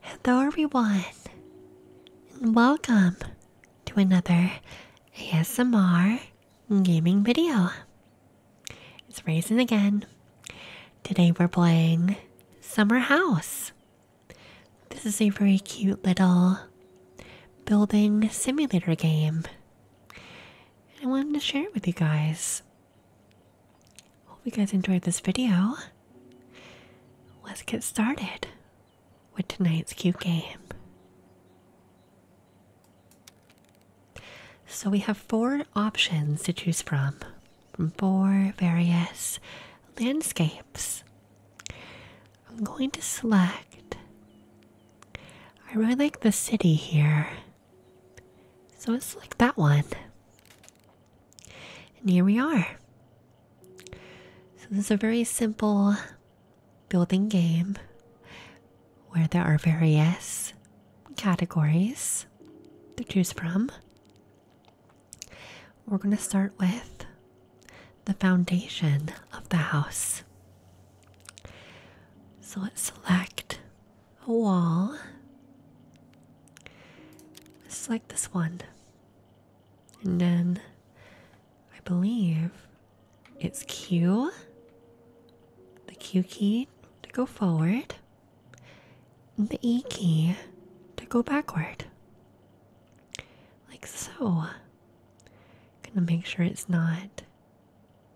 Hello, everyone, and welcome to another ASMR gaming video. It's Raisin again. Today, we're playing Summer House. This is a very cute little building simulator game. I wanted to share it with you guys. Hope you guys enjoyed this video. Let's get started with tonight's cute game. So, we have four options to choose from from four various landscapes. I'm going to select. I really like the city here. So it's like that one. And here we are. So this is a very simple building game where there are various categories to choose from. We're going to start with the foundation of the house. So let's select a wall. Just like this one. And then I believe it's Q, the Q key to go forward, the E key to go backward. Like so. Gonna make sure it's not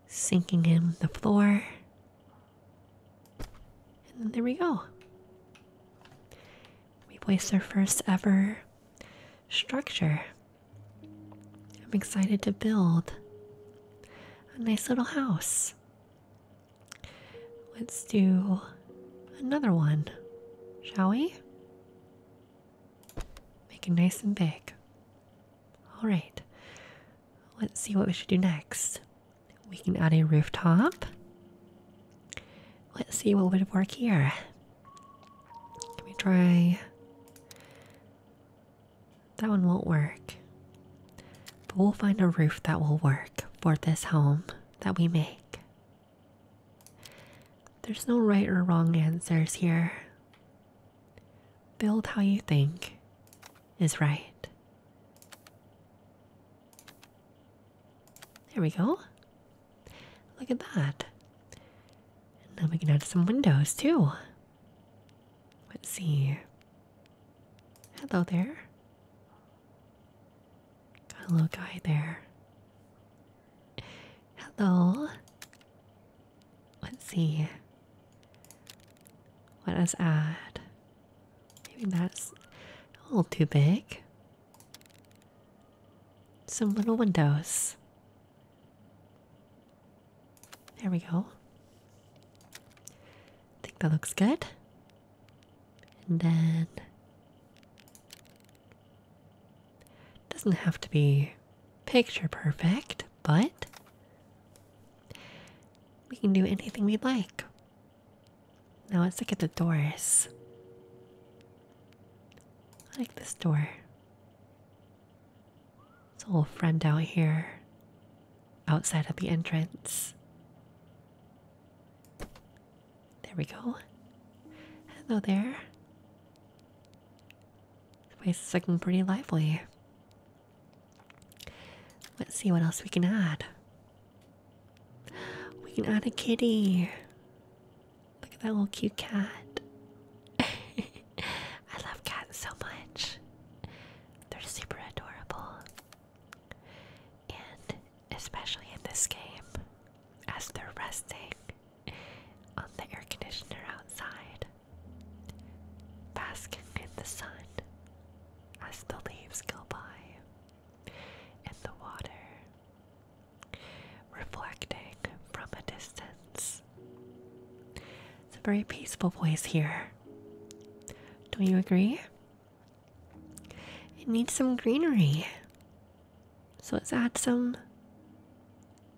sinking in the floor and then there we go. We have voiced our first ever structure. I'm excited to build a nice little house. Let's do another one, shall we? Make it nice and big. Alright, let's see what we should do next. We can add a rooftop. Let's see what would work here. Can we try? That one won't work. But we'll find a roof that will work for this home that we make. There's no right or wrong answers here. Build how you think is right. There we go. Look at that. Now we can add some windows too. Let's see. Hello there. Got a little guy there. Hello. Let's see. Let us add Maybe that's a little too big. Some little windows. There we go. I think that looks good. And then doesn't have to be picture perfect, but we can do anything we'd like. Now let's look at the doors. I like this door. It's a little friend out here outside of the entrance. There we go. Hello there. The place is looking pretty lively. Let's see what else we can add. We can add a kitty. Look at that little cute cat. I love cats so much. They're super adorable. And especially in this game, as they're resting on the air conditioner outside, basking in the sun, as the leaves go by in the water, reflecting from a distance. It's a very peaceful place here. Don't you agree? It needs some greenery. So let's add some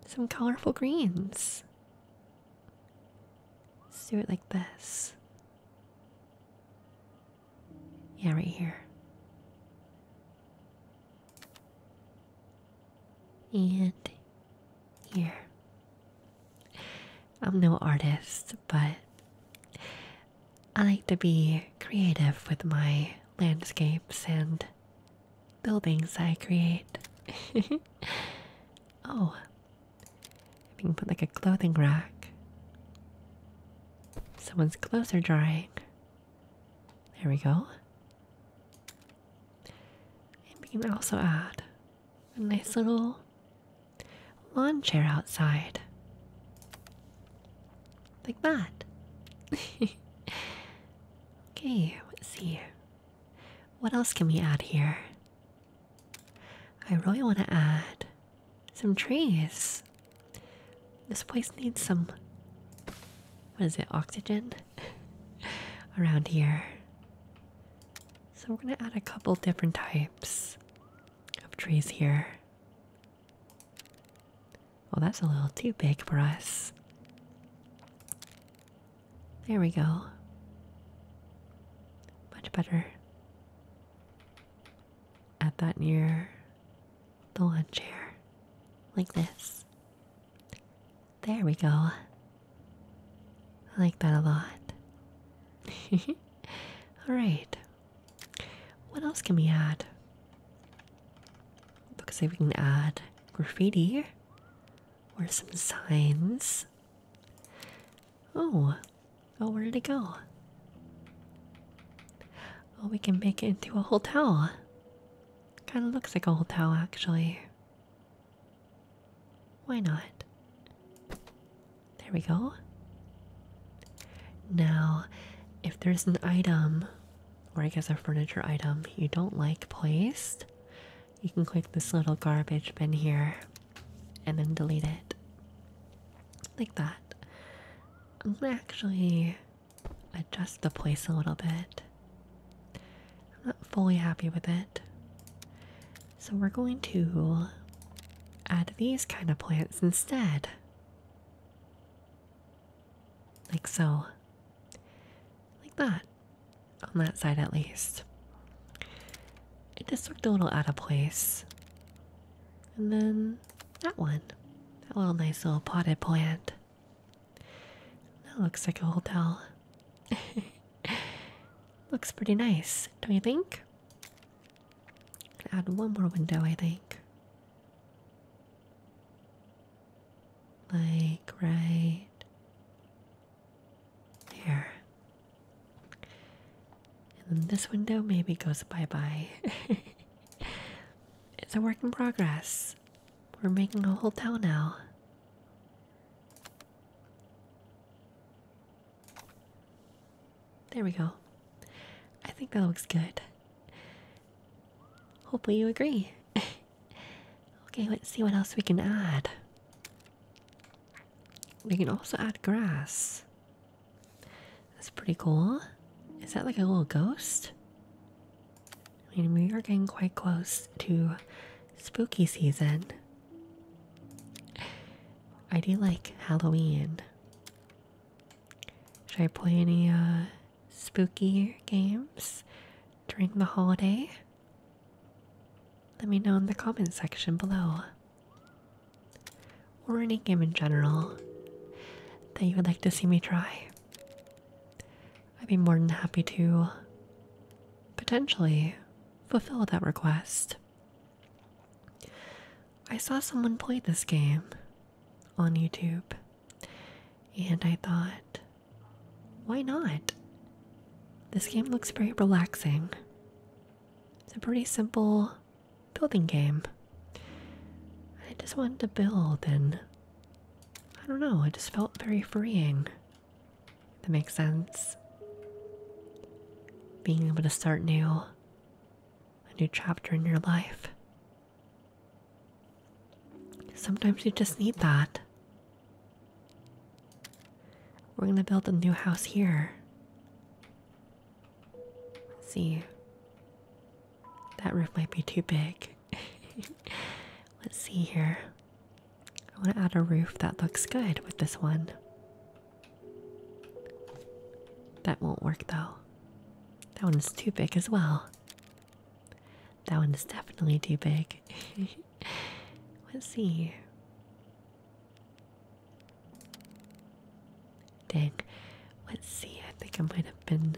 some colorful greens. Let's do it like this. Yeah, right here. And here. I'm no artist, but I like to be creative with my landscapes and buildings I create. oh, we can put like a clothing rack. Someone's clothes are drying. There we go. And we can also add a nice little lawn chair outside. Like that. okay, let's see. What else can we add here? I really want to add some trees. This place needs some. What is it? Oxygen around here. So we're going to add a couple different types of trees here. Well, that's a little too big for us. There we go. Much better at that near the lawn chair, like this. There we go. I like that a lot. Alright. What else can we add? Looks like we can add graffiti or some signs. Oh, oh, where did it go? Well, we can make it into a hotel. Kind of looks like a hotel, actually. Why not? There we go. Now, if there's an item, or I guess a furniture item, you don't like placed, you can click this little garbage bin here and then delete it like that. I'm gonna actually adjust the place a little bit. I'm not fully happy with it. So we're going to add these kind of plants instead. Like so. Like that. On that side at least. It just looked a little out of place. And then that one. That little nice little potted plant. That looks like a hotel. looks pretty nice, don't you think? Add one more window, I think. Like right here. And then this window maybe goes bye bye. it's a work in progress. We're making a whole town now. There we go. I think that looks good. Hopefully, you agree. okay, let's see what else we can add. We can also add grass. That's pretty cool. Is that like a little ghost? I mean, we are getting quite close to spooky season. I do like Halloween. Should I play any uh, spooky games during the holiday? Let me know in the comment section below or any game in general that you would like to see me try, I'd be more than happy to potentially fulfill that request. I saw someone play this game on YouTube, and I thought, why not? This game looks very relaxing. It's a pretty simple building game. I just wanted to build, and I don't know, it just felt very freeing. that makes sense. Being able to start new, a new chapter in your life. Sometimes you just need that. We're gonna build a new house here. See, that roof might be too big. Let's see here. I want to add a roof that looks good with this one. That won't work though. That one's too big as well. That one is definitely too big. Let's see. Dang. Let's see, I think I might have been.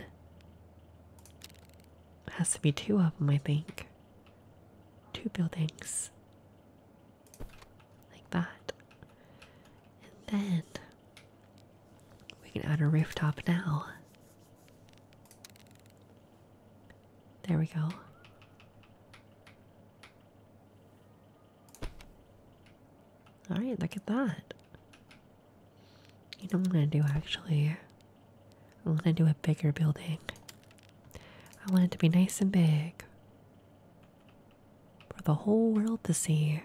has to be two of them, I think. Two buildings. Like that. And then we can add a rooftop now. There we go. Alright, look at that. You know what I'm gonna do actually? I'm gonna do a bigger building. I want it to be nice and big. For the whole world to see.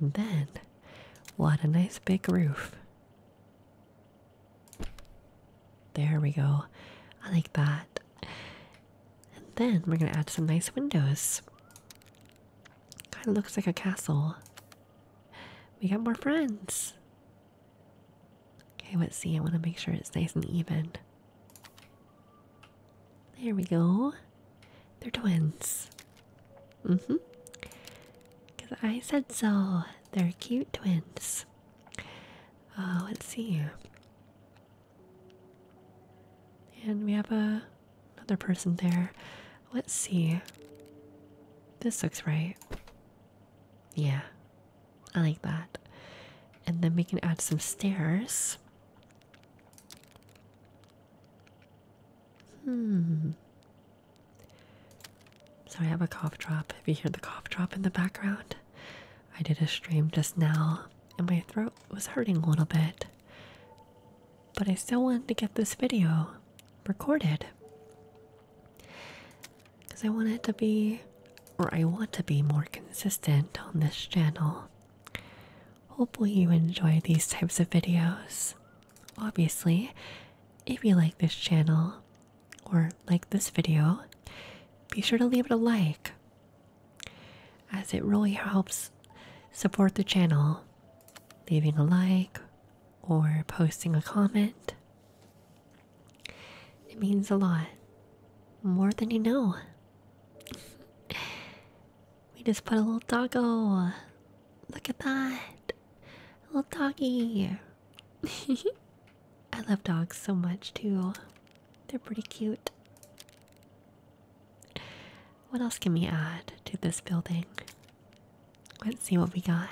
And then what a nice big roof. There we go. I like that. And then we're going to add some nice windows. Kind of looks like a castle. We got more friends. Okay, let's see. I want to make sure it's nice and even. There we go. They're twins. Mm hmm. Because I said so. They're cute twins. Oh, let's see. And we have a, another person there. Let's see. This looks right. Yeah, I like that. And then we can add some stairs. Hmm. So I have a cough drop. If you hear the cough drop in the background, I did a stream just now and my throat was hurting a little bit, but I still wanted to get this video recorded because I want it to be, or I want to be more consistent on this channel. Hopefully, you enjoy these types of videos. Obviously, if you like this channel, or like this video, be sure to leave it a like as it really helps support the channel. Leaving a like or posting a comment. It means a lot. More than you know. We just put a little doggo. Look at that. A little doggy. I love dogs so much too. They're pretty cute. What else can we add to this building? Let's see what we got.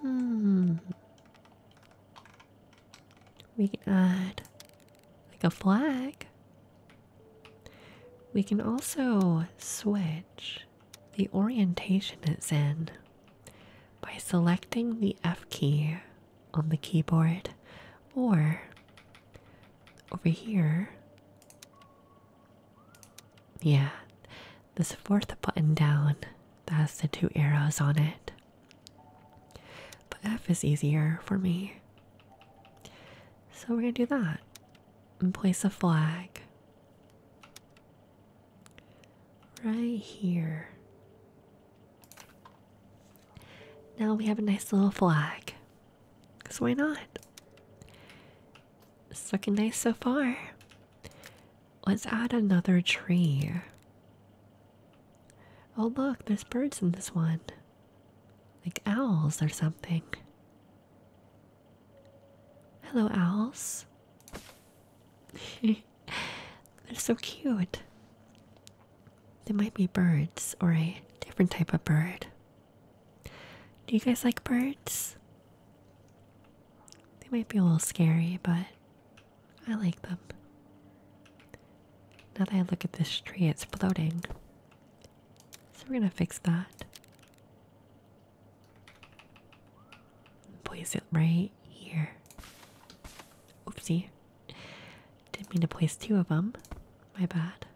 Hmm. We can add like a flag. We can also switch the orientation it's in by selecting the F key on the keyboard or over here. Yeah, this fourth button down that has the two arrows on it. But F is easier for me. So we're gonna do that and place a flag. Right here. Now we have a nice little flag. Because why not? It's looking nice so far. Let's add another tree. Oh, look, there's birds in this one. Like owls or something. Hello, owls. They're so cute. They might be birds or a different type of bird. Do you guys like birds? They might be a little scary, but I like them. Now that I look at this tree, it's floating. So we're gonna fix that. Place it right here. Oopsie. Didn't mean to place two of them. My bad.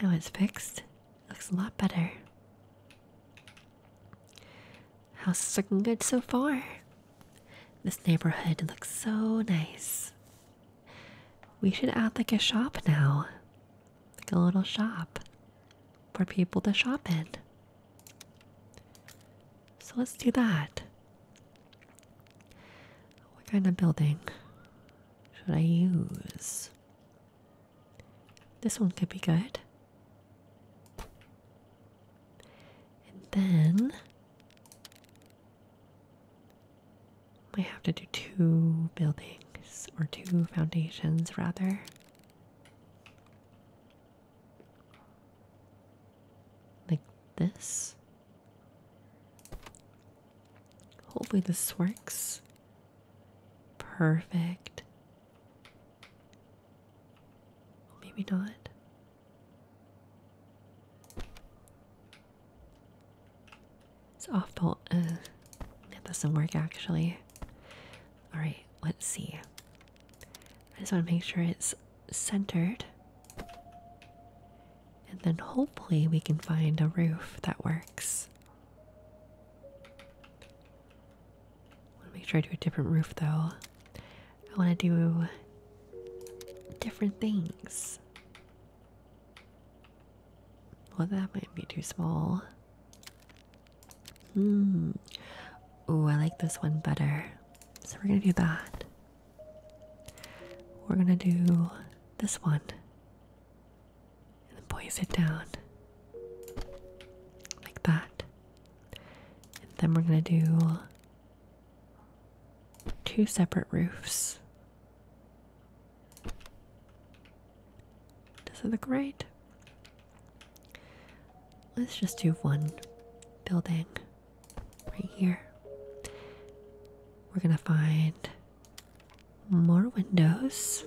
Now it's fixed. Looks a lot better. House is looking good so far. This neighborhood looks so nice. We should add like a shop now. Like a little shop for people to shop in. So let's do that. What kind of building should I use? This one could be good. And then we have to do two buildings or two foundations rather. Like this? Hopefully, this works. Perfect. Maybe not. It's awful. Uh, that doesn't work actually. Alright, let's see. I just want to make sure it's centered. And then hopefully we can find a roof that works. I want to make sure I do a different roof though. I want to do different things. Well, that might be too small. Hmm. Ooh, I like this one better. So we're gonna do that. We're gonna do this one. And then poise it down. Like that. And then we're gonna do two separate roofs. Does it look right? Let's just do one building right here. We're gonna find more windows.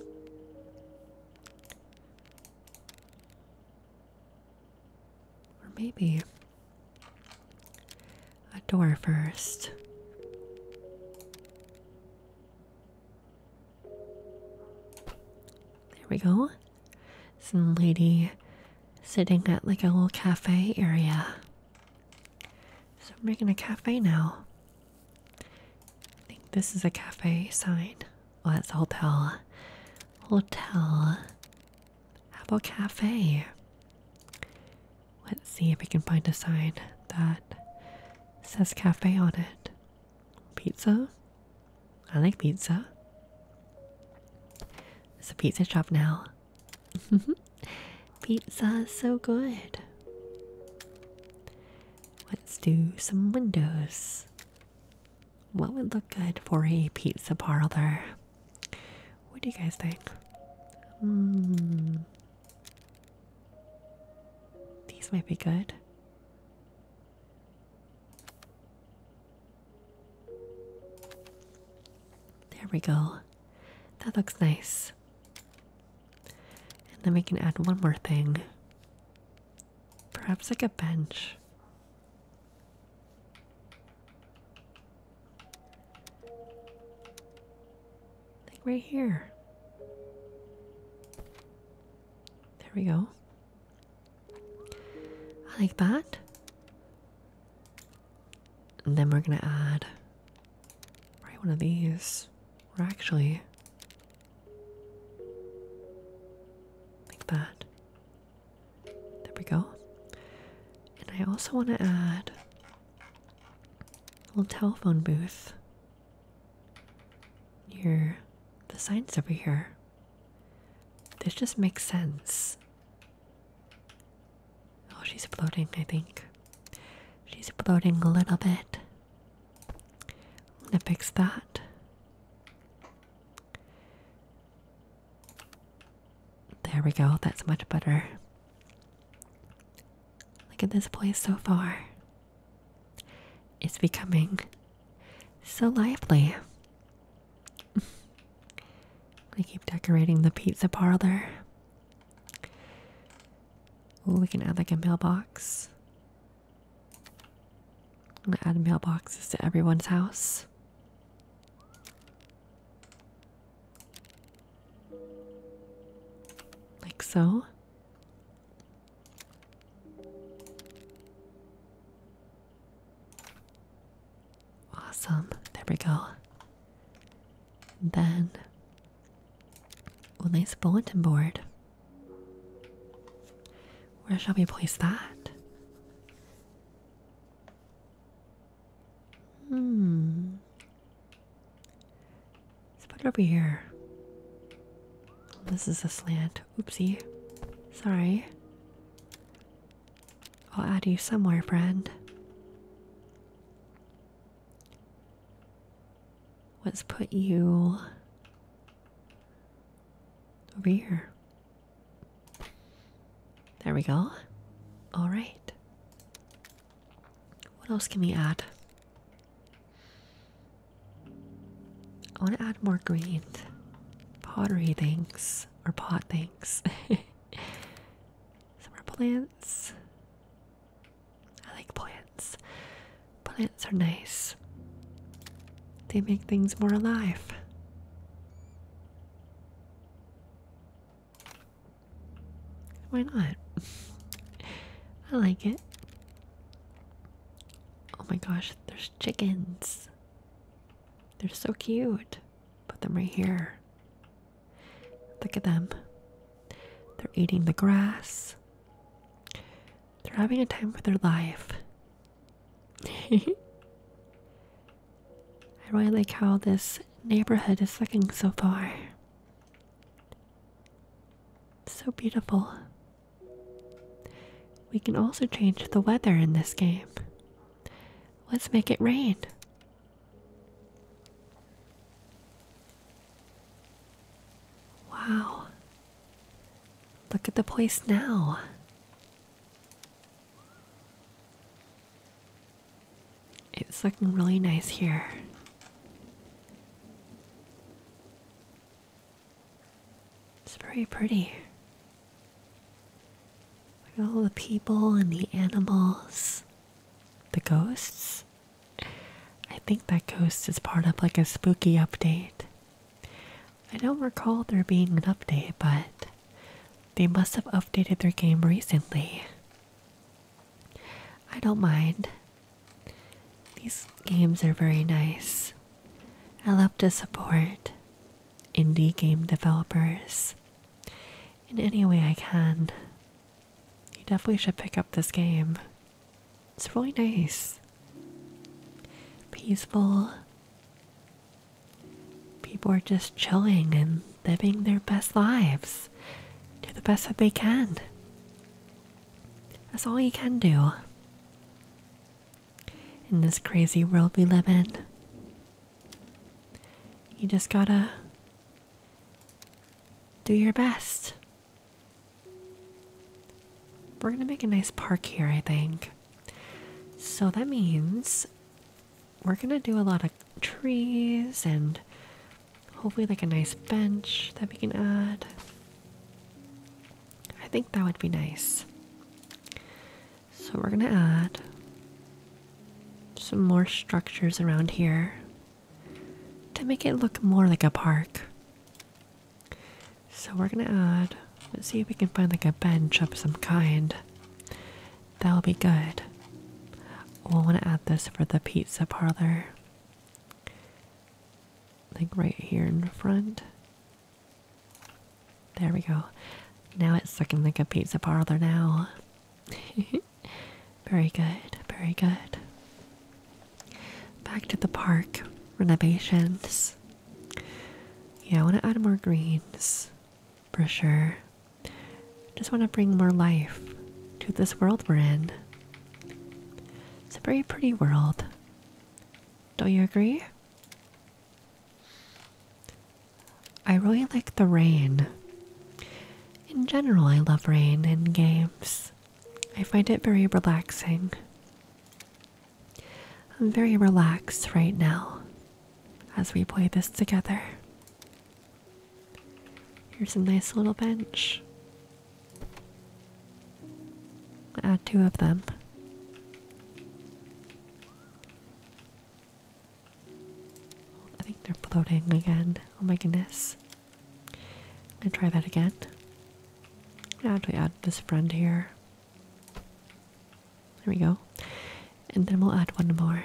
Or maybe a door first. There we go. Some lady sitting at like a little cafe area. So we're making a cafe now. I think this is a cafe sign. Well, that's a hotel. Hotel. How about cafe? Let's see if we can find a sign that says cafe on it. Pizza? I like pizza. It's a pizza shop now. pizza is so good. Let's do some windows. What would look good for a pizza parlor? What do you guys think? Hmm. These might be good. There we go. That looks nice. And then we can add one more thing. Perhaps like a bench. Like right here. There we go. I like that. And then we're gonna add right one of these. We're actually like that. There we go. And I also want to add a little telephone booth near the signs over here. This just makes sense. Oh, she's floating, I think. She's floating a little bit. I'm gonna fix that. There we go, that's much better. Look at this place so far. It's becoming so lively. I keep decorating the pizza parlor. we can add like a mailbox. I'm gonna add mailboxes to everyone's house. Like so. Awesome. There we go. Then, oh, the bulletin board. Where shall we place that? Hmm. Let's put it over here. This is a slant. Oopsie. Sorry. I'll add you somewhere, friend. Let's put you over here. There we go. All right. What else can we add? I want to add more greens pottery things or pot things. Some are plants. I like plants. Plants are nice. They make things more alive. Why not? I like it. Oh my gosh, there's chickens. They're so cute. Put them right here. Look at them. They're eating the grass. They're having a time with their life. I really like how this neighborhood is looking so far. So beautiful. We can also change the weather in this game. Let's make it rain. Wow. Look at the place now. It's looking really nice here. It's very pretty. all the people and the animals. The ghosts? I think that ghost is part of like a spooky update. I don't recall there being an update, but they must have updated their game recently. I don't mind. These games are very nice. I love to support indie game developers in any way I can. You definitely should pick up this game. It's really nice. Peaceful. People are just chilling and living their best lives. Do the best that they can. That's all you can do in this crazy world we live in. You just gotta do your best. We're gonna make a nice park here, I think. So that means we're gonna do a lot of trees and hopefully, like a nice bench that we can add. I think that would be nice. So we're going to add some more structures around here to make it look more like a park. So we're going to add, let's see if we can find like a bench of some kind. That'll be good. We'll want to add this for the pizza parlor. Like right here in front. There we go. Now it's looking like a pizza parlor now. very good, very good. Back to the park renovations. Yeah, I want to add more greens for sure. Just want to bring more life to this world we're in. It's a very pretty world. Don't you agree? I really like the rain. In general, I love rain in games. I find it very relaxing. I'm very relaxed right now as we play this together. Here's a nice little bench. Add two of them. I think they're floating again. Oh my goodness. I'm gonna try that again. I'm add this friend here. There we go. And then we'll add one more.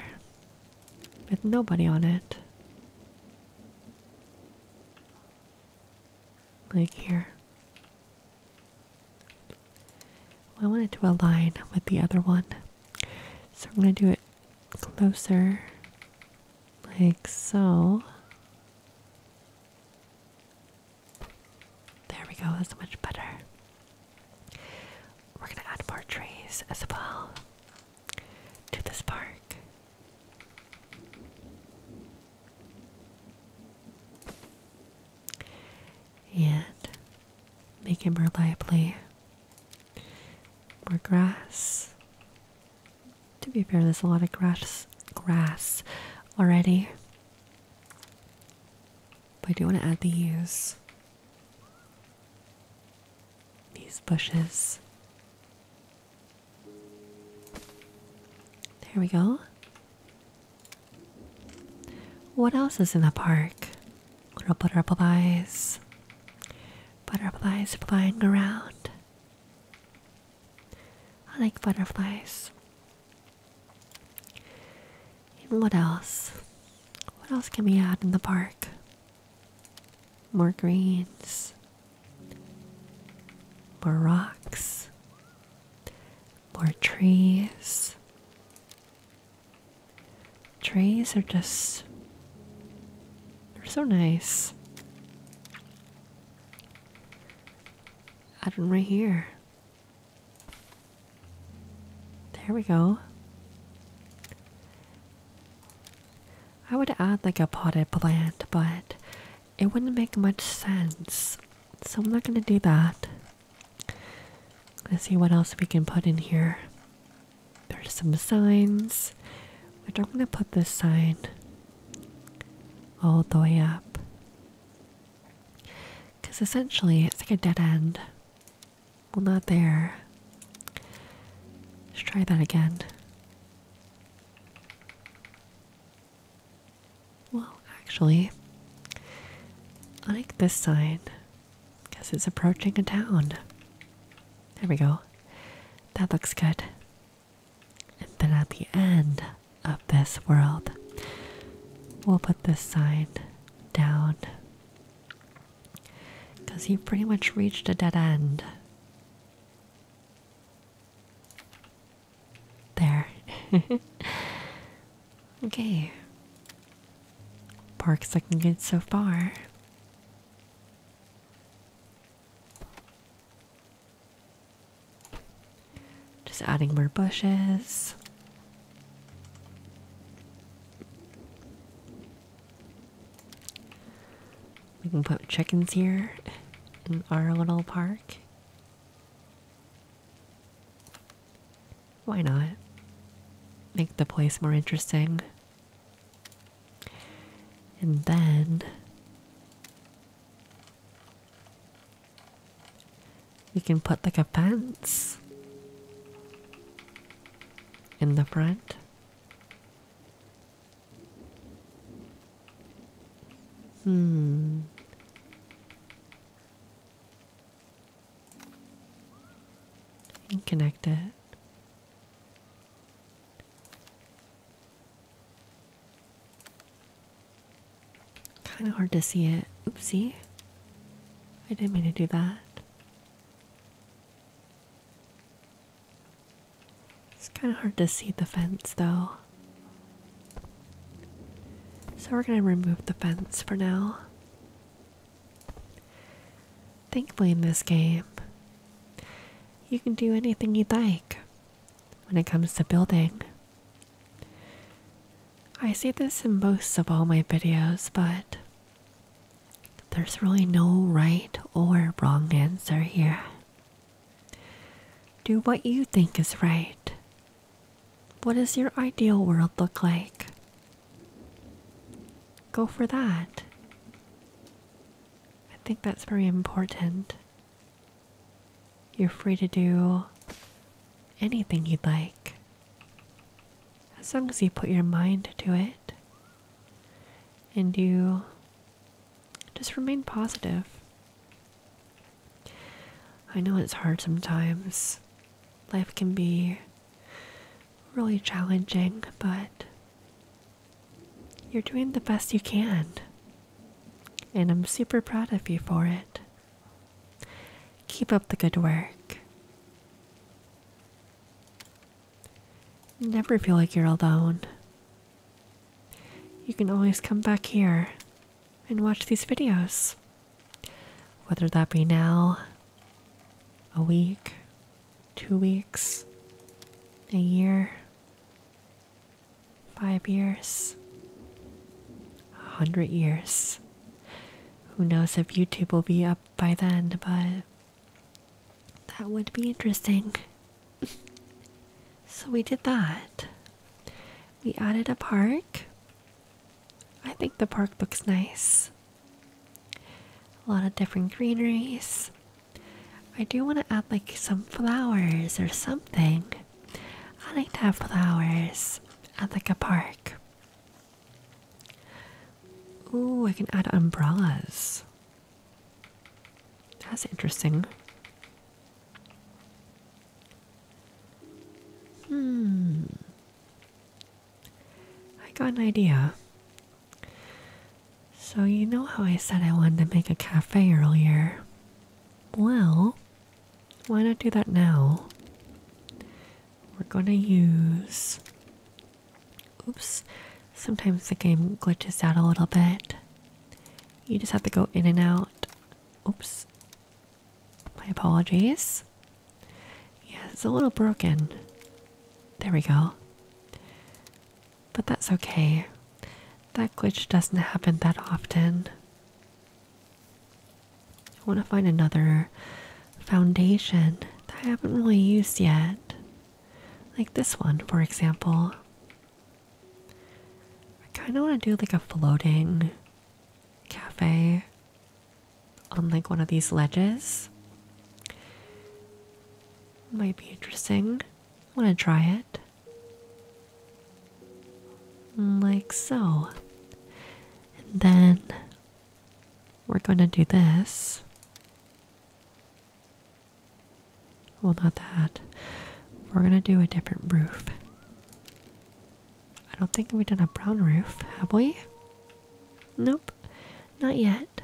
With nobody on it. Like here. I want it to align with the other one. So I'm going to do it closer, like so. There we go, that's much better. We're going to add more trees as well to this park and make it more lively. More grass. To be fair, there's a lot of grass grass already. But I do want to add these these bushes. There we go. What else is in the park? Little butterflies. Butterflies flying around. I like butterflies. what else? What else can we add in the park? More greens. More rocks more trees. Trees are just they're so nice. Add one right here. There we go. I would add like a potted plant, but it wouldn't make much sense. So I'm not gonna do that. Let's see what else we can put in here. There's some signs. I don't want to put this sign all the way up. Because essentially it's like a dead end. Well, not there. Let's try that again. Well, actually, I like this sign because it's approaching a town. There we go. That looks good. And then at the end of this world, we'll put this sign down because you pretty much reached a dead end. There. okay. Park's looking good so far. Just adding more bushes. We can put chickens here in our little park. Why not? Make the place more interesting. And then you can put like a fence in the front. Hmm and connect it. Kind of hard to see it. Oopsie. I didn't mean to do that. It's kind of hard to see the fence though. So we're going to remove the fence for now. Thankfully, in this game, you can do anything you'd like when it comes to building. I say this in most of all my videos, but there's really no right or wrong answer here. Do what you think is right what does your ideal world look like? Go for that. I think that's very important. You're free to do anything you'd like, as long as you put your mind to it and you just remain positive. I know it's hard sometimes. Life can be really challenging, but you're doing the best you can. And I'm super proud of you for it. Keep up the good work. Never feel like you're alone. You can always come back here and watch these videos. Whether that be now, a week, two weeks, a year, five years, a hundred years. Who knows if YouTube will be up by then, but that would be interesting. so we did that. We added a park. I think the park looks nice. A lot of different greenery. I do want to add like some flowers or something. I like to have flowers at like a park. Ooh, I can add umbrellas. That's interesting. Hmm. I got an idea. So, you know how I said I wanted to make a cafe earlier? Well, why not do that now? We're gonna use. Oops, sometimes the game glitches out a little bit. You just have to go in and out. Oops, my apologies. Yeah, it's a little broken. There we go. But that's okay. That glitch doesn't happen that often. I want to find another foundation that I haven't really used yet. Like this one, for example. I kind of want to do like a floating cafe on like one of these ledges. Might be interesting. Want to try it? Like so. And then we're going to do this. Well, not that. We're going to do a different roof. I don't think we've done a brown roof, have we? Nope, not yet.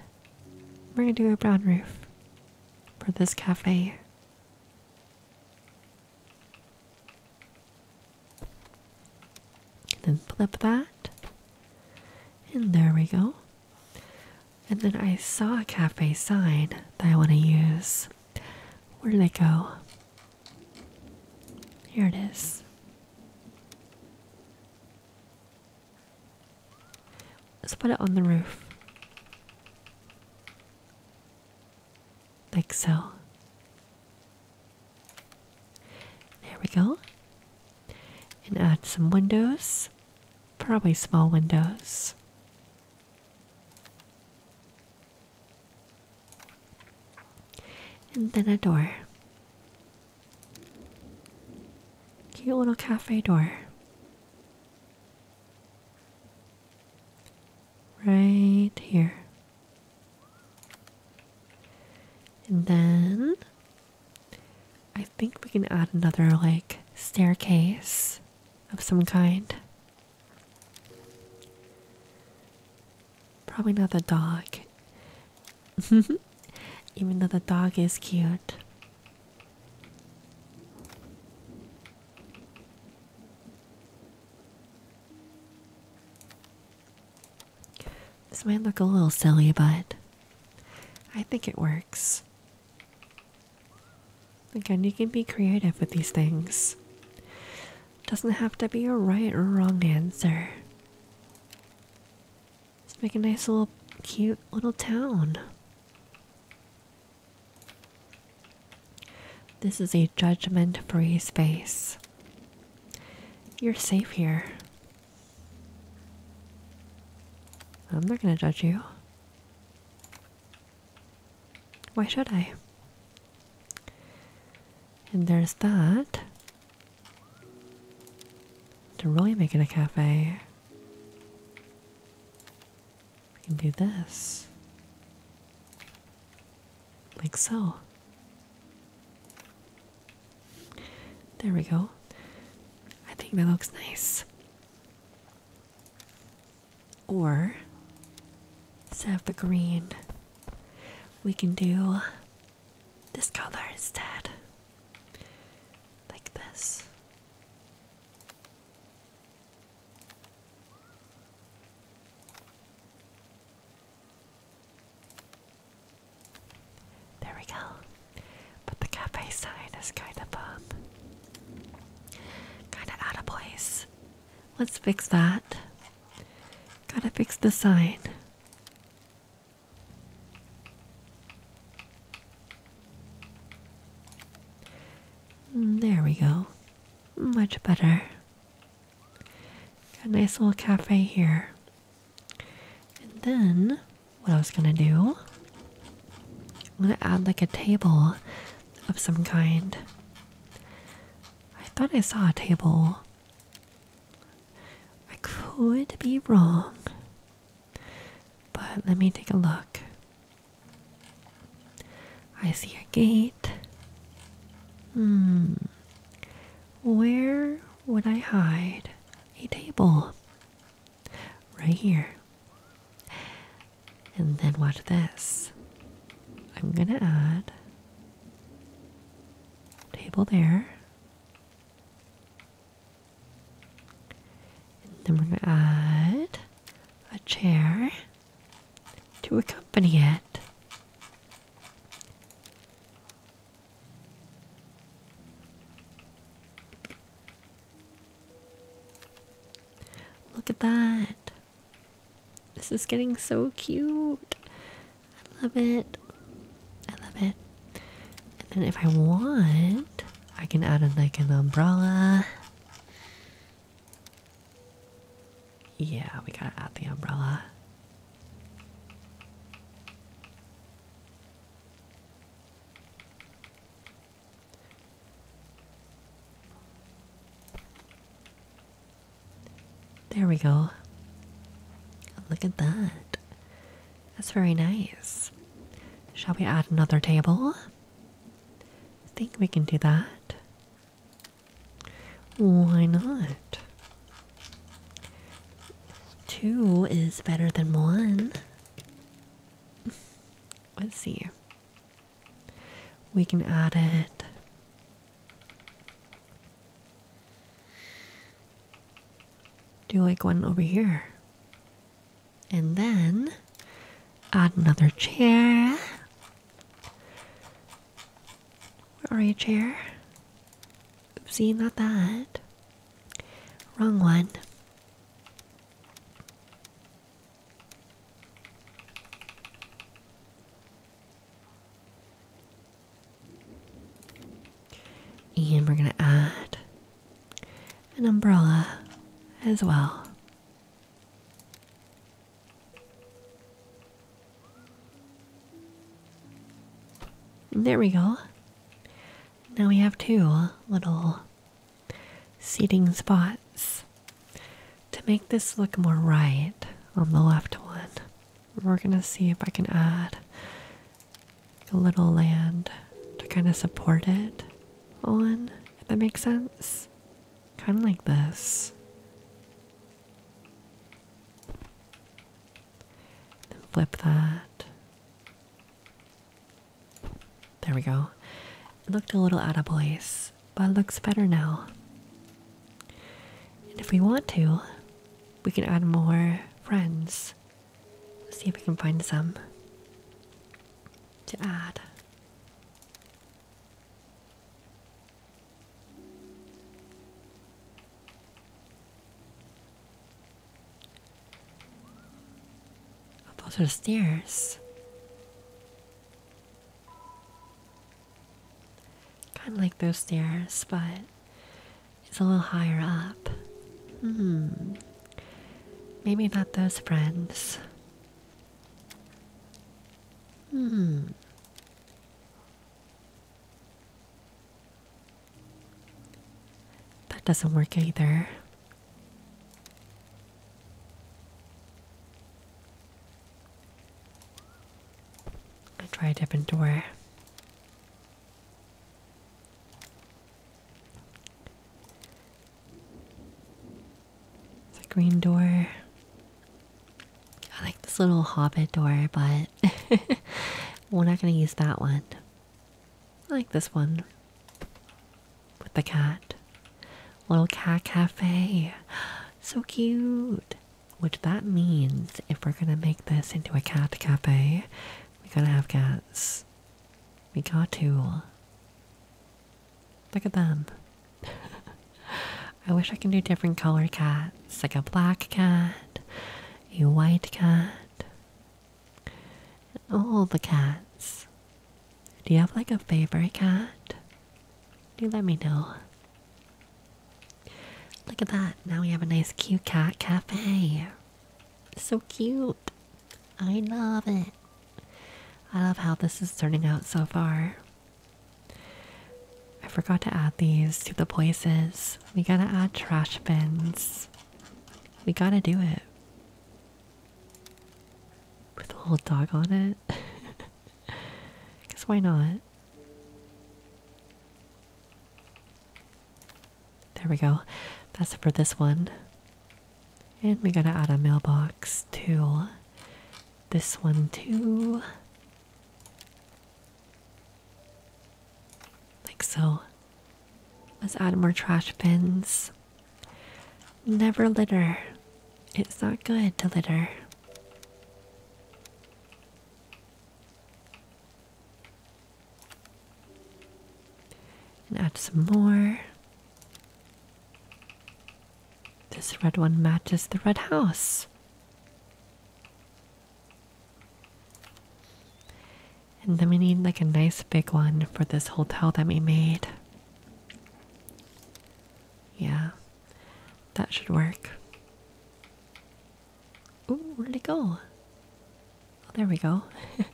We're gonna do a brown roof for this cafe. And then flip that. And there we go. And then I saw a cafe sign that I want to use. Where did it go? Here it is. Let's put it on the roof. Like so. There we go. And add some windows, probably small windows. And then a door. Cute little cafe door. Right here. And then I think we can add another like staircase of some kind. Probably not the dog. Even though the dog is cute. This might look a little silly, but I think it works. Again, you can be creative with these things. Doesn't have to be a right or wrong answer. Let's make a nice little cute little town. This is a judgment free space. You're safe here. I'm not gonna judge you. Why should I? And there's that. To really make it a cafe. We can do this. Like so. There we go. I think that looks nice. Or, let's have the green we can do this color instead. Like this. There we go. But the cafe sign is kind of um, kind of out of place. Let's fix that. Gotta fix the sign. Mm, there we go. Much better. Got a nice little cafe here. And then, what I was gonna do, I'm gonna add like a table of some kind. I thought I saw a table. I could be wrong. But let me take a look. I see a gate. Hmm. Where would I hide a table? Right here. And then watch this. I'm gonna add Table there. And then we're going to add a chair to accompany it. Look at that. This is getting so cute. I love it. I love it. And then if I want, I can add like an umbrella. Yeah, we gotta add the umbrella. There we go. Look at that. That's very nice. Shall we add another table? I think we can do that. Why not? Two is better than one. Let's see. We can add it do like one over here. And then add another chair. Where are you, chair? Oopsie, not that. Wrong one. And we're going to add an umbrella as well. There we go. Now we have two little seating spots. To make this look more right on the left one, we're gonna see if I can add a little land to kind of support it on, if that makes sense. Kind of like this. flip that. There we go. It looked a little out of place but it looks better now. And if we want to, we can add more friends. Let's see if we can find some to add. Up those the stairs. Kind of like those stairs, but it's a little higher up. Hmm. Maybe not those friends. Hmm. That doesn't work either. I'll try a different door. It's a green door. I like this little hobbit door, but we're not going to use that one. I like this one with the cat. Little cat cafe. So cute. Which that means if we're gonna make this into a cat cafe, we gotta have cats. We got to. Look at them. I wish I can do different color cats, like a black cat, a white cat. All the cats. Do you have like a favorite cat? Do let me know. Look at that. Now we have a nice cute cat cafe. So cute. I love it. I love how this is turning out so far. I forgot to add these to the places. We gotta add trash bins. We gotta do it. With a little dog on it. Because why not? There we go. That's it for this one. And we gotta add a mailbox to this one too. Like so. Let's add more trash bins. Never litter. It's not good to litter. And add some more. This red one matches the red house. And then we need like a nice big one for this hotel that we made. Yeah, that should work. Ooh, where did it go? Oh, there we go. it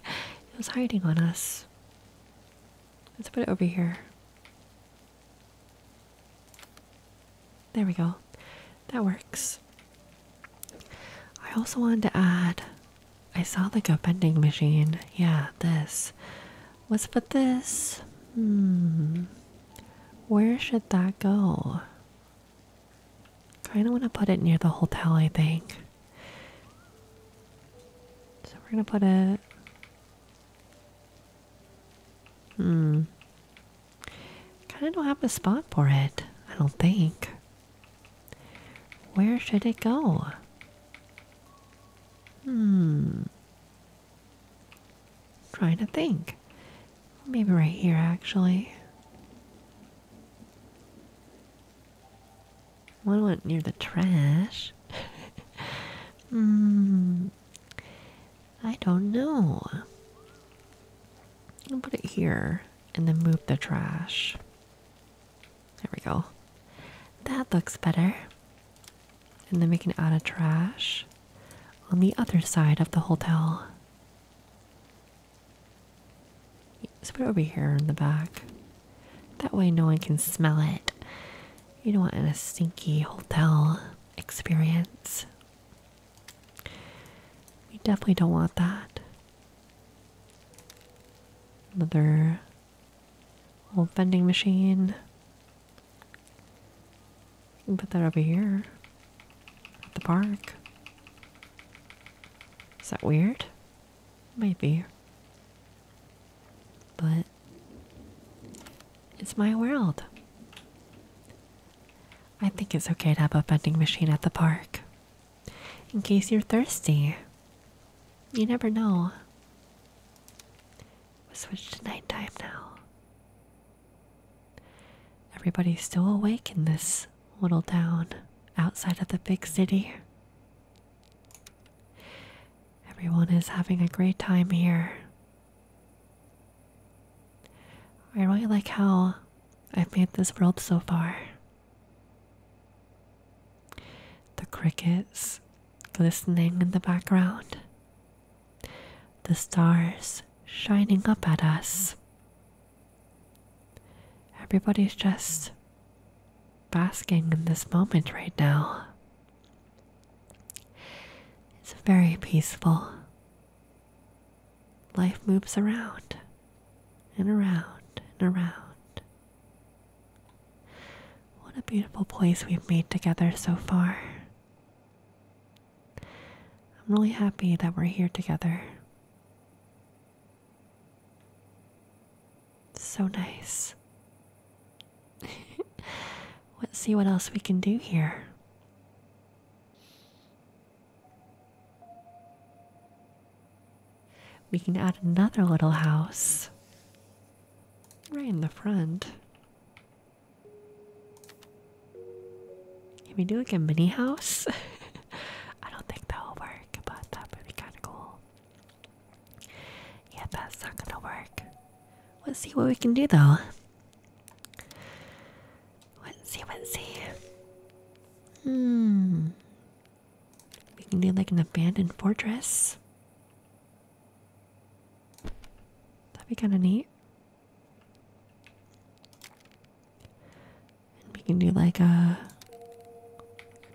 was hiding on us. Let's put it over here. There we go. That works. I also wanted to add I saw like a vending machine. Yeah, this. Let's put this. Hmm. Where should that go? Kind of want to put it near the hotel, I think. So we're going to put it. Hmm. Kind of don't have a spot for it, I don't think. Where should it go? Hmm. Trying to think. Maybe right here, actually. One went near the trash. Hmm. I don't know. I'll put it here and then move the trash. There we go. That looks better and then we can add a trash on the other side of the hotel. Let's put it over here in the back. That way no one can smell it. You don't want a stinky hotel experience. We definitely don't want that. Another old vending machine put that over here at the park. Is that weird? Maybe. But it's my world. I think it's okay to have a vending machine at the park. In case you're thirsty. You never know. we switched to nighttime now. Everybody's still awake in this little town outside of the big city. Everyone is having a great time here. I really like how I've made this world so far. The crickets glistening in the background, the stars shining up at us. Everybody's just basking in this moment right now. It's very peaceful. Life moves around and around and around. What a beautiful place we've made together so far. I'm really happy that we're here together. So nice. Let's see what else we can do here. We can add another little house right in the front. Can we do like a mini house? I don't think that'll work, but that would be kind of cool. Yeah, that's not gonna work. Let's see what we can do though. Let's see, let's see. Hmm. We can do like an abandoned fortress. That'd be kind of neat. And we can do like a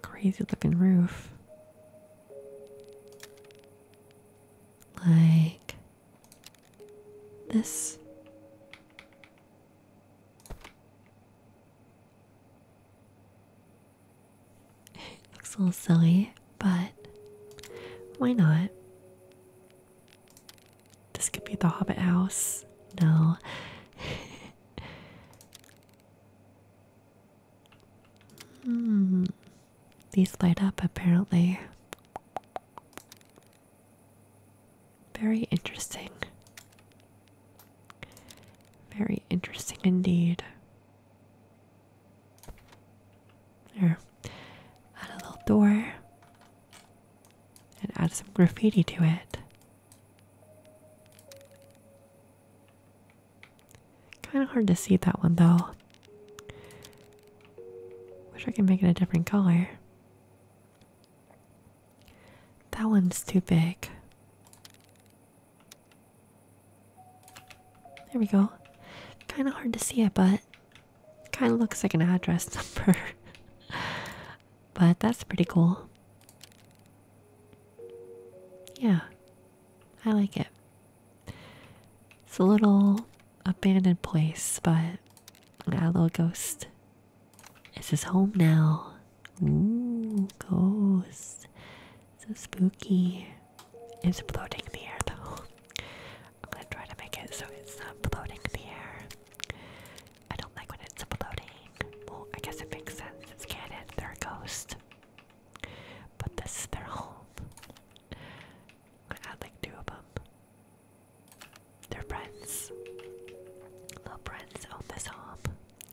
crazy looking roof. Like this. looks a little silly, but why not? This could be the Hobbit house. No. hmm. These light up apparently. Very interesting. Very interesting indeed. There. Add a little door. And add some graffiti to it. Kind of hard to see that one though. Wish I could make it a different color. That one's too big. There we go. Kind of hard to see it, but Kind of looks like an address number. but that's pretty cool. Yeah, I like it. It's a little abandoned place, but yeah, a little ghost. This is home now. Ooh, ghost. So spooky. It's floating in the air though. I'm gonna try to make it so it's not floating in the air. I don't like when it's floating. Well, I guess it makes sense. It's canon. They're a ghost. But this is their home. I'm add like two of them. Their are friends. Little friends own this home.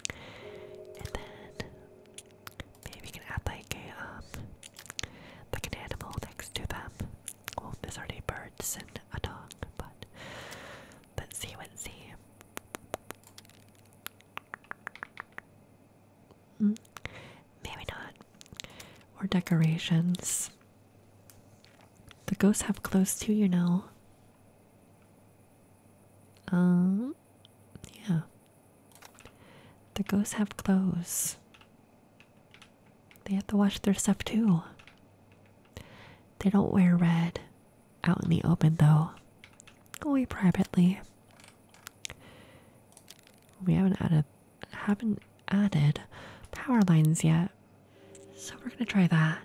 And then maybe you can add like a um like an animal next to them Oh, there's already birds and a dog, but let's see what see. Hmm. maybe not. Or decorations. The ghosts have clothes too, you know. Um, yeah. The ghosts have clothes. They have to wash their stuff too. They don't wear red out in the open though. Go away privately. We haven't added haven't added power lines yet. So we're gonna try that.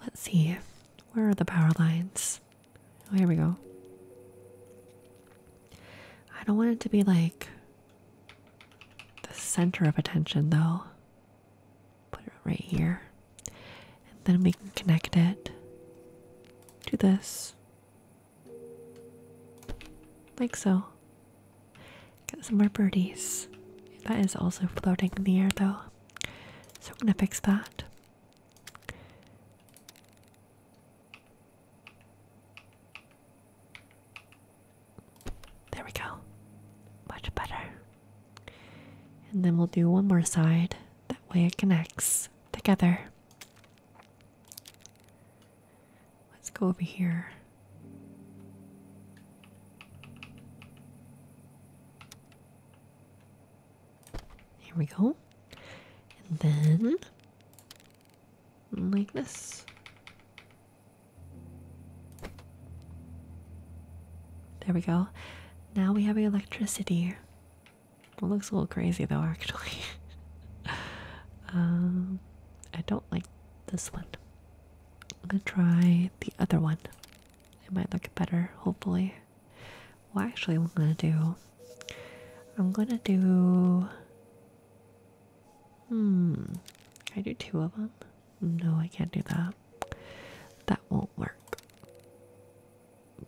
Let's see. Where are the power lines? Oh, here we go. I don't want it to be like the center of attention, though. Put it right here. And then we can connect it to this. Like so. Got some more birdies. That is also floating in the air, though. So I'm going to fix that. There we go. Much better. And then we'll do one more side. That way it connects together. Let's go over here. Here we go. And then like this. There we go. Now we have electricity. It looks a little crazy though, actually. um, I don't like this one. I'm gonna try the other one. It might look better, hopefully. Well, actually, I'm gonna do. I'm gonna do. Hmm. I do two of them? No, I can't do that. That won't work.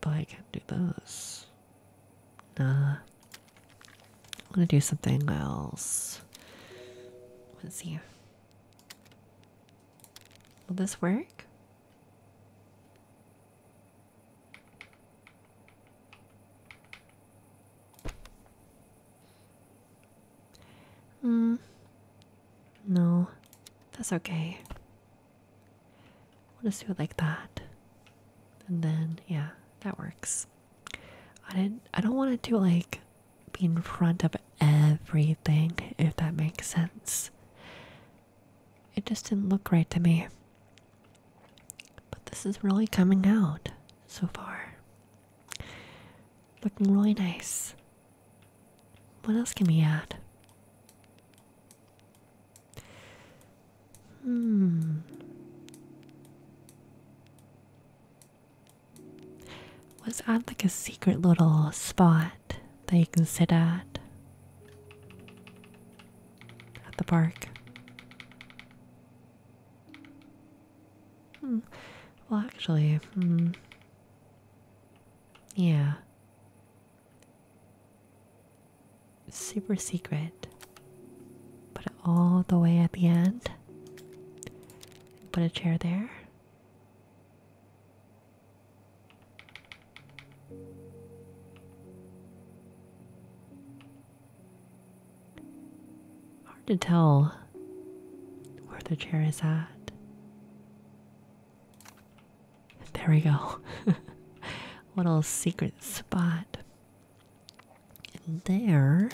But I can do those. Nah. I'm gonna do something else. Let's see. Will this work? Hmm. No, that's okay. We'll just do it like that. And then, yeah, that works. I didn't, I don't want it to like be in front of everything, if that makes sense. It just didn't look right to me. But this is really coming out so far. Looking really nice. What else can we add? Hmm. Let's add like a secret little spot lot that you can sit at at the park. Hmm. Well, actually, hmm. yeah. Super secret. Put it all the way at the end. Put a chair there. Hard to tell where the chair is at. There we go. Little secret spot. there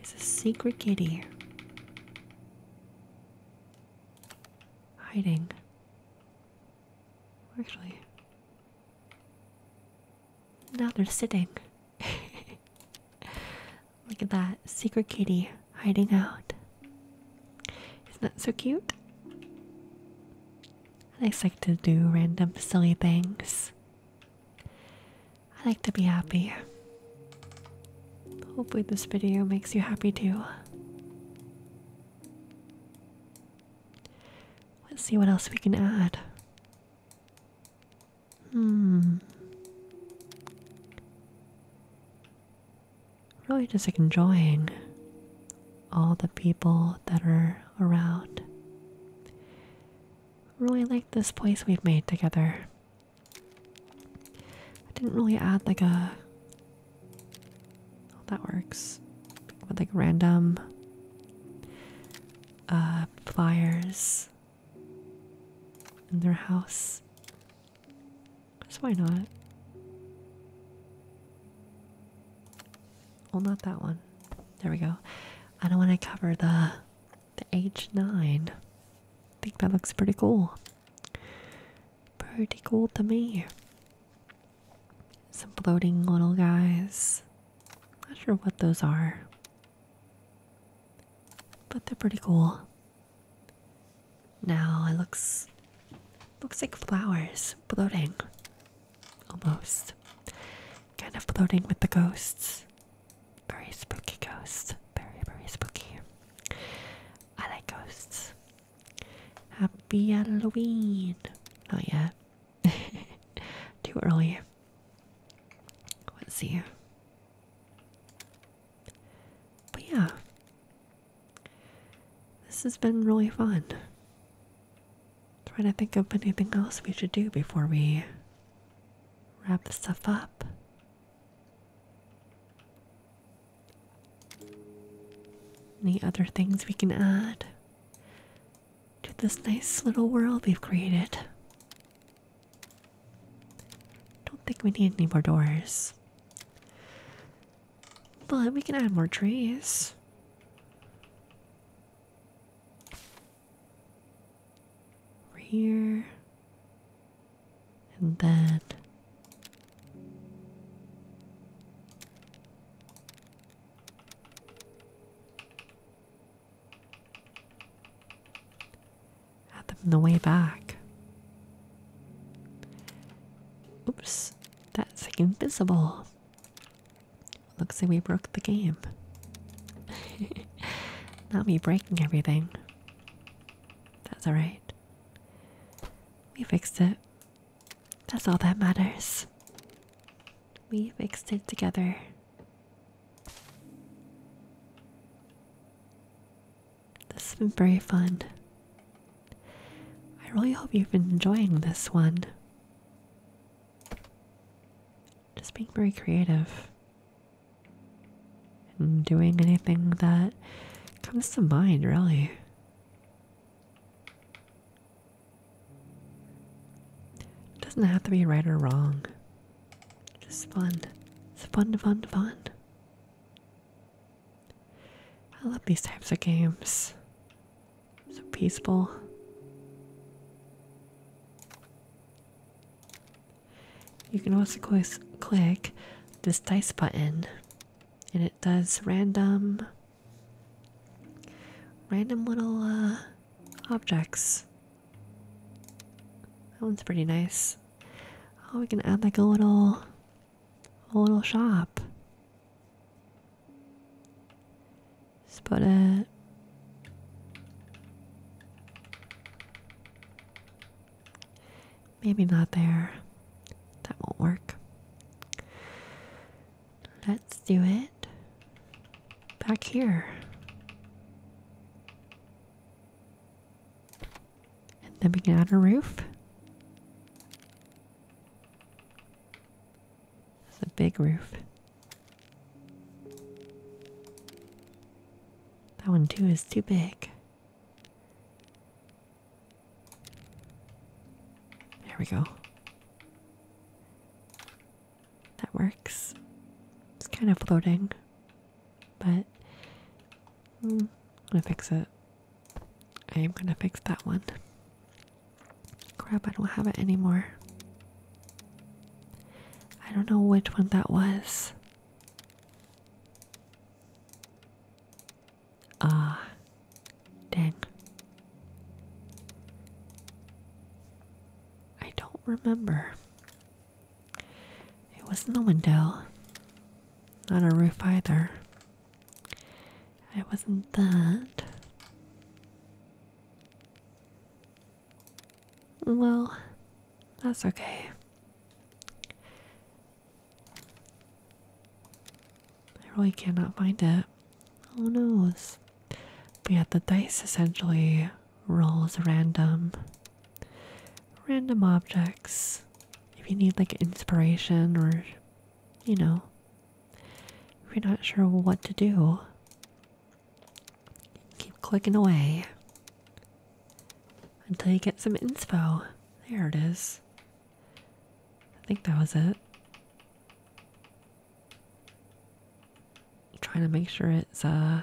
is a secret kitty hiding. Actually, now they're sitting. Look at that secret kitty hiding out. Isn't that so cute? I like to do random silly things. I like to be happy. Hopefully, this video makes you happy too. Let's see what else we can add. Hmm. Really, just like enjoying all the people that are around. Really like this place we've made together. I didn't really add like a. that works. With like random uh, pliers in their house. So why not? Well, not that one. There we go. I don't want to cover the the H9. I think that looks pretty cool pretty cool to me. Some floating little guys. Not sure what those are. But they're pretty cool. Now it looks looks like flowers floating. Almost. Kind of floating with the ghosts. Very spooky ghost. Very, very spooky. I like ghosts. Happy Halloween! Not yet. Too early. Let's see. But yeah. This has been really fun. Trying to think of anything else we should do before we wrap stuff up. Any other things we can add to this nice little world we've created? Don't think we need any more doors. But we can add more trees. Over here and then add them the way back. Oops, that's like invisible. Looks like we broke the game. Not me breaking everything. That's alright. We fixed it. That's all that matters. We fixed it together. This has been very fun. I really hope you've been enjoying this one. Just being very creative i doing anything that comes to mind, really. doesn't have to be right or wrong. Just fun. It's fun, fun, fun. I love these types of games. So peaceful. You can also click this dice button and it does random random little uh, objects. That one's pretty nice. Oh, we can add like a little a little shop. Just put it Maybe not there. That won't work. Let's do it back here. And then we can add a roof. It's a big roof. That one too is too big. There we go. That works. It's kind of floating, but hmm, I'm gonna fix it. I am gonna fix that one. Crap, I don't have it anymore. I don't know which one that was. Ah, dang. I don't remember. It wasn't the window, not a roof either. It wasn't that. Well, that's okay. I really cannot find it. Who knows? But yeah, the dice essentially rolls random random objects. If you need like inspiration or you know if you're not sure what to do, keep clicking away until you get some info. There it is. I think that was it. trying to make sure it's uh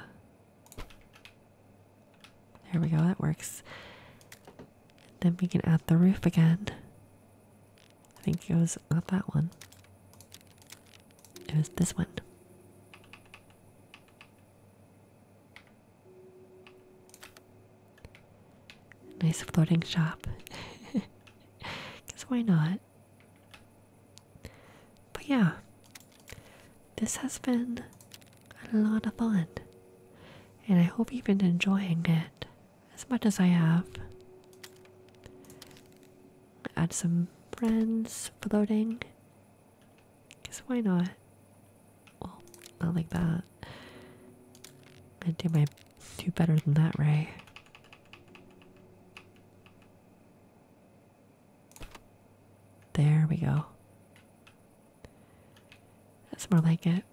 there we go, that works. Then we can add the roof again. I think it was not that one. It was this one. Nice floating shop. Because why not? But yeah, this has been a lot of fun. And I hope you've been enjoying it as much as I have. Add some friends floating Guess why not? Well, not like that. I do my do better than that, Ray. There we go. That's more like it.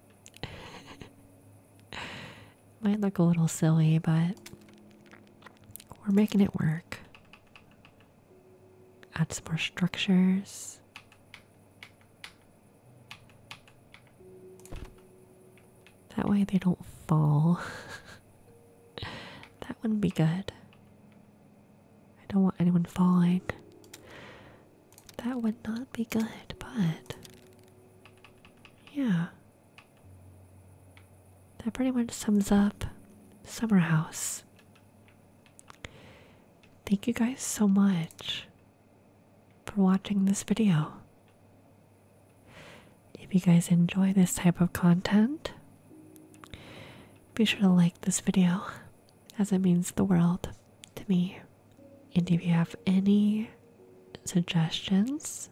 Might look a little silly, but we're making it work. Add some more structures. That way they don't fall. that wouldn't be good. I don't want anyone falling. That would not be good, but. Yeah. That pretty much sums up Summer House. Thank you guys so much for watching this video. If you guys enjoy this type of content, be sure to like this video as it means the world to me. And if you have any suggestions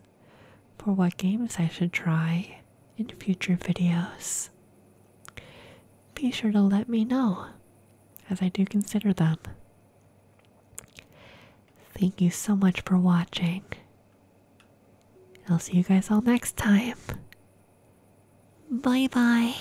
for what games I should try in future videos, be sure to let me know, as I do consider them. Thank you so much for watching. I'll see you guys all next time. Bye bye.